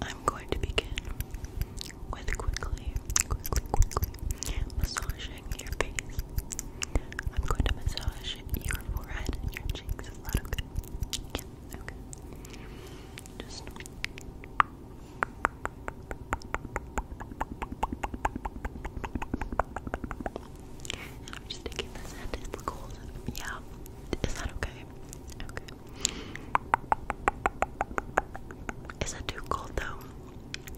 I'm going to begin with quickly, quickly, quickly massaging your face. I'm going to massage your forehead your cheeks. Is that okay? Yeah, okay. Just I'm just this in cold. Yeah. Is that okay? Okay. Is it too cold though?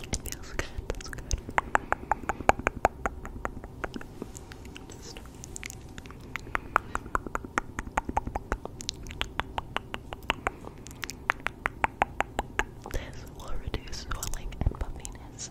It feels good. That's good. this will reduce swelling and puffiness.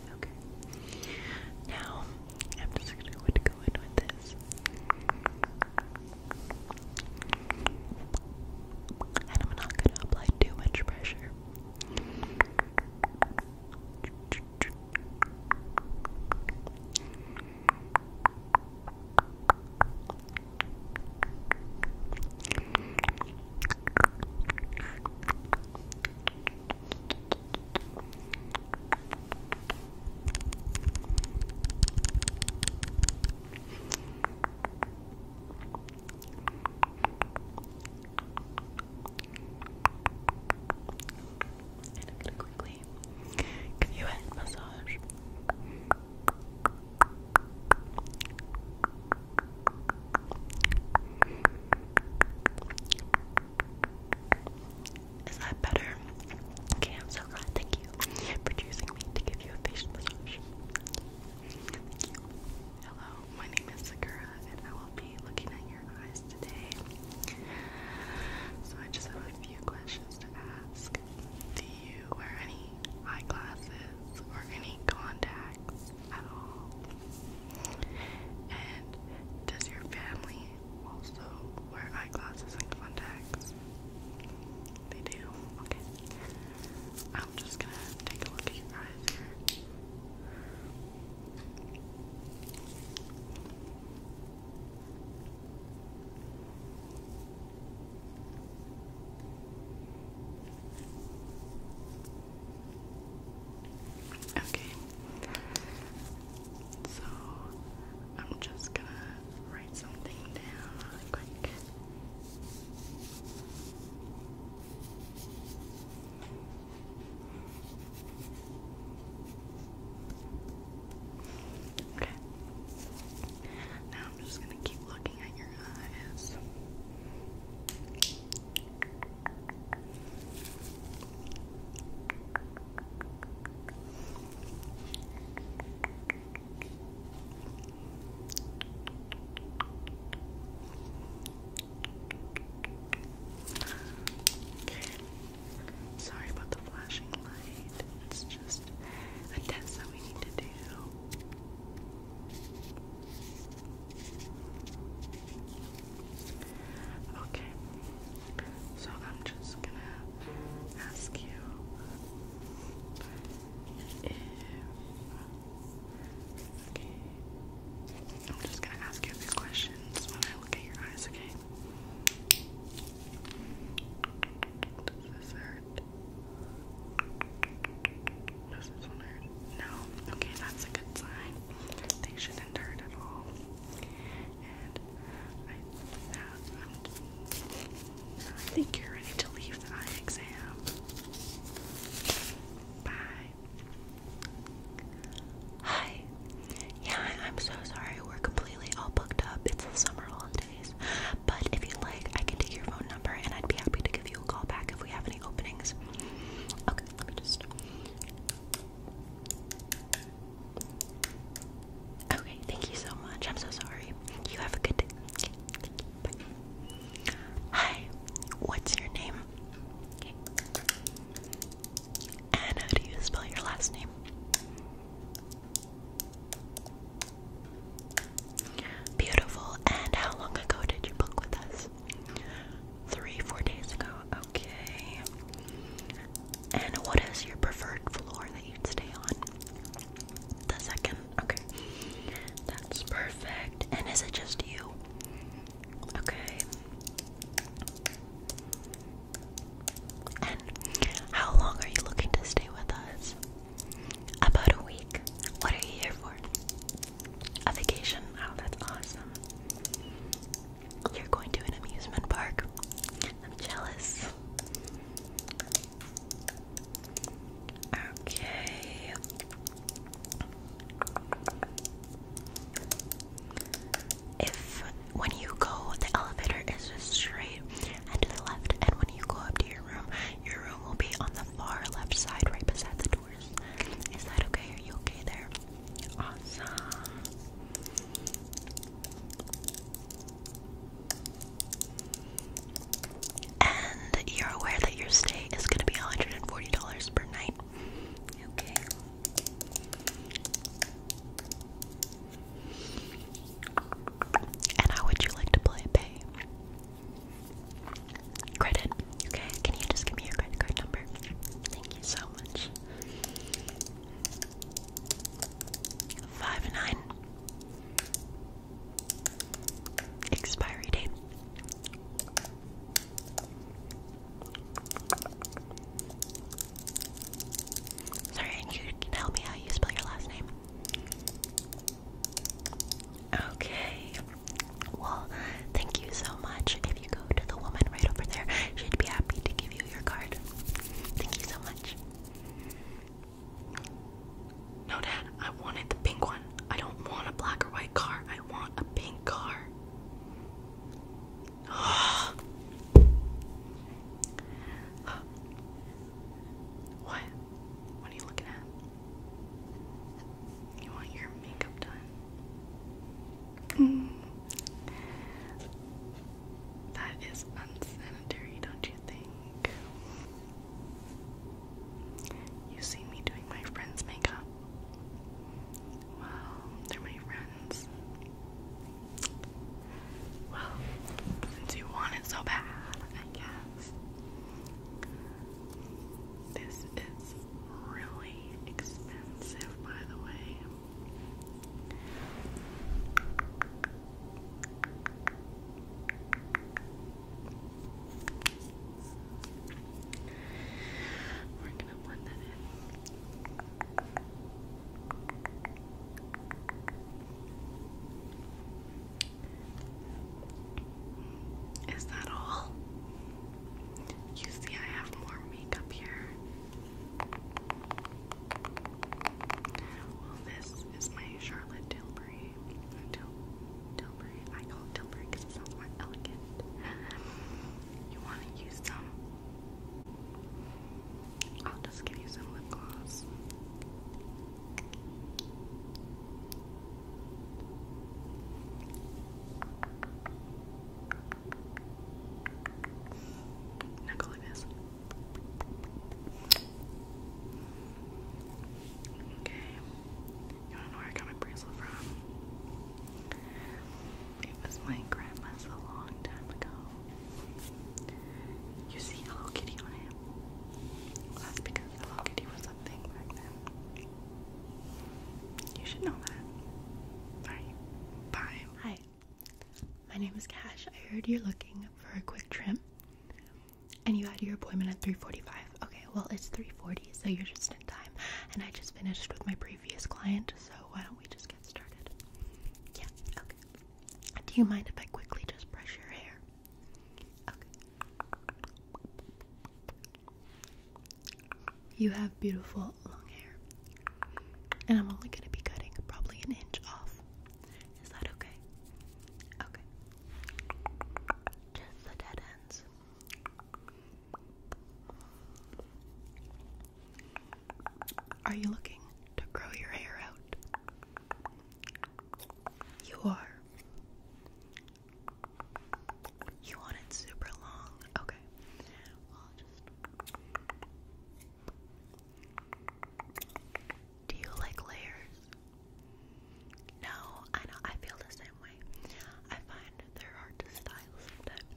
Okay. Now, I'm just gonna go in with this. And I'm not gonna apply too much pressure. And I'm gonna quickly give you a head massage. Is that better? Okay, I'm so Thank you for choosing me to give you a facial Hello, my name is Sakura, and I will be looking at your eyes today. So I just have a few questions to ask. Do you wear any eyeglasses or any contacts? And does your family also wear eyeglasses and contacts? They do. Okay. I'm just gonna take a look at your eyes Okay, so I'm just gonna write something down quick. Okay. Now I'm just gonna keep looking looking at Sorry about the flashing light. It's just a test that we need to do. Okay, so I'm just gonna ask you Okay, I'm just gonna ask you a few questions when I look at your eyes, okay? Does this hurt? No. Okay, that's a good sign. They shouldn't hurt at all. And I, think you're ready to leave the eye exam. Bye. Hi. Yeah, I'm so sorry. We're completely all booked up. It's the summer holidays. But if you'd like, I can take your phone number and I'd be happy to give you a call back if we have any openings. Okay, let me just. Okay, thank you so much. I'm so sorry. You have a good day. Hi, what's your name? Okay. how do you spell your last name? Beautiful. And how long ago did you book with us? Three, four days ago. Okay. And what is your preferred floor that you'd stay on? The second. Okay. That's perfect. And is it just you? Okay. And how long are you looking to stay with us? About a week. What are you here for? A vacation? Oh, that's awesome. You're going to an amusement park? I'm jealous. Okay. If when you go, the elevator is just straight and to the left. And when you go up to your room, your room will be on the far left side, right beside the doors. Is that okay? Are you okay there? Awesome. And you're aware that your stay is going to be $140 per night. Okay. And how would you like to play pay? Credit. Okay, can you just give me your credit card number? Thank you so much. Five nine. Expiry date. Sorry, and you tell me how you spell your last name. Okay. Well, thank you so much. If you go to the woman right over there, she'd be happy to give you your card. Thank you so much. No, Dad, I wanted the pink one. I don't want a black or white car. I want a pink car. what? What are you looking at? You want your makeup done? Mm. That is unsanitary, don't you think? You see me doing my friend's makeup. Wow, they're my friends. Well, since you want it so bad, I guess. This is really expensive, by the way. We're gonna blend that in. Is that all? You see, I have more makeup here. Well, this is my Charlotte Tilbury. Til Tilbury. I call Tilbury because it sounds more elegant. You want to use some? I'll just give you some lip gloss. Now like this. Okay. You wanna know where I got my bracelet from? It was my grandma's a long time ago. You see Hello Kitty on it? that's because Hello Kitty was a thing back then. You should know that. Alright, bye. Hi, my name is Cash. I heard you're looking for a quick trim. And you had your appointment at 3:45. Okay, well it's 3:40, so you're just time. And I just finished with my previous client, so why don't we just get started? Yeah, okay. Do you mind if I quickly just brush your hair? Okay. You have beautiful long hair. And I'm only gonna be cutting probably an inch off. Is that okay? Okay. the dead ends. Are you looking to grow your hair out? You are. You want it super long? Okay. Do you like layers? No, I know. I feel the same way. I find they're hard to style sometimes.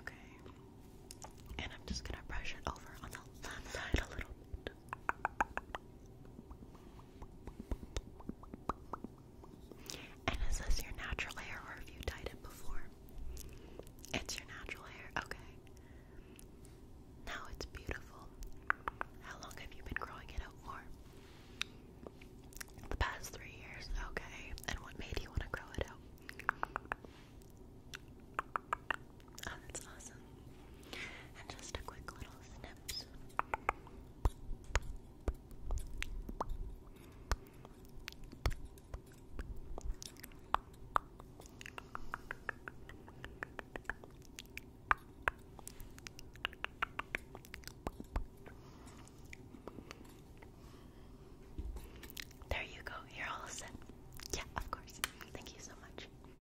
Okay. And I'm just gonna brush it over on the left side a little bit. And is this your natural hair or have you dyed it before? It's your natural hair, okay. Now it's beautiful. How long have you been growing it out for? The past three years, okay. And what made you want to grow it out? Oh, that's awesome. And just a quick little snips. There you go. You're all set. Yeah, of course. Thank you so much.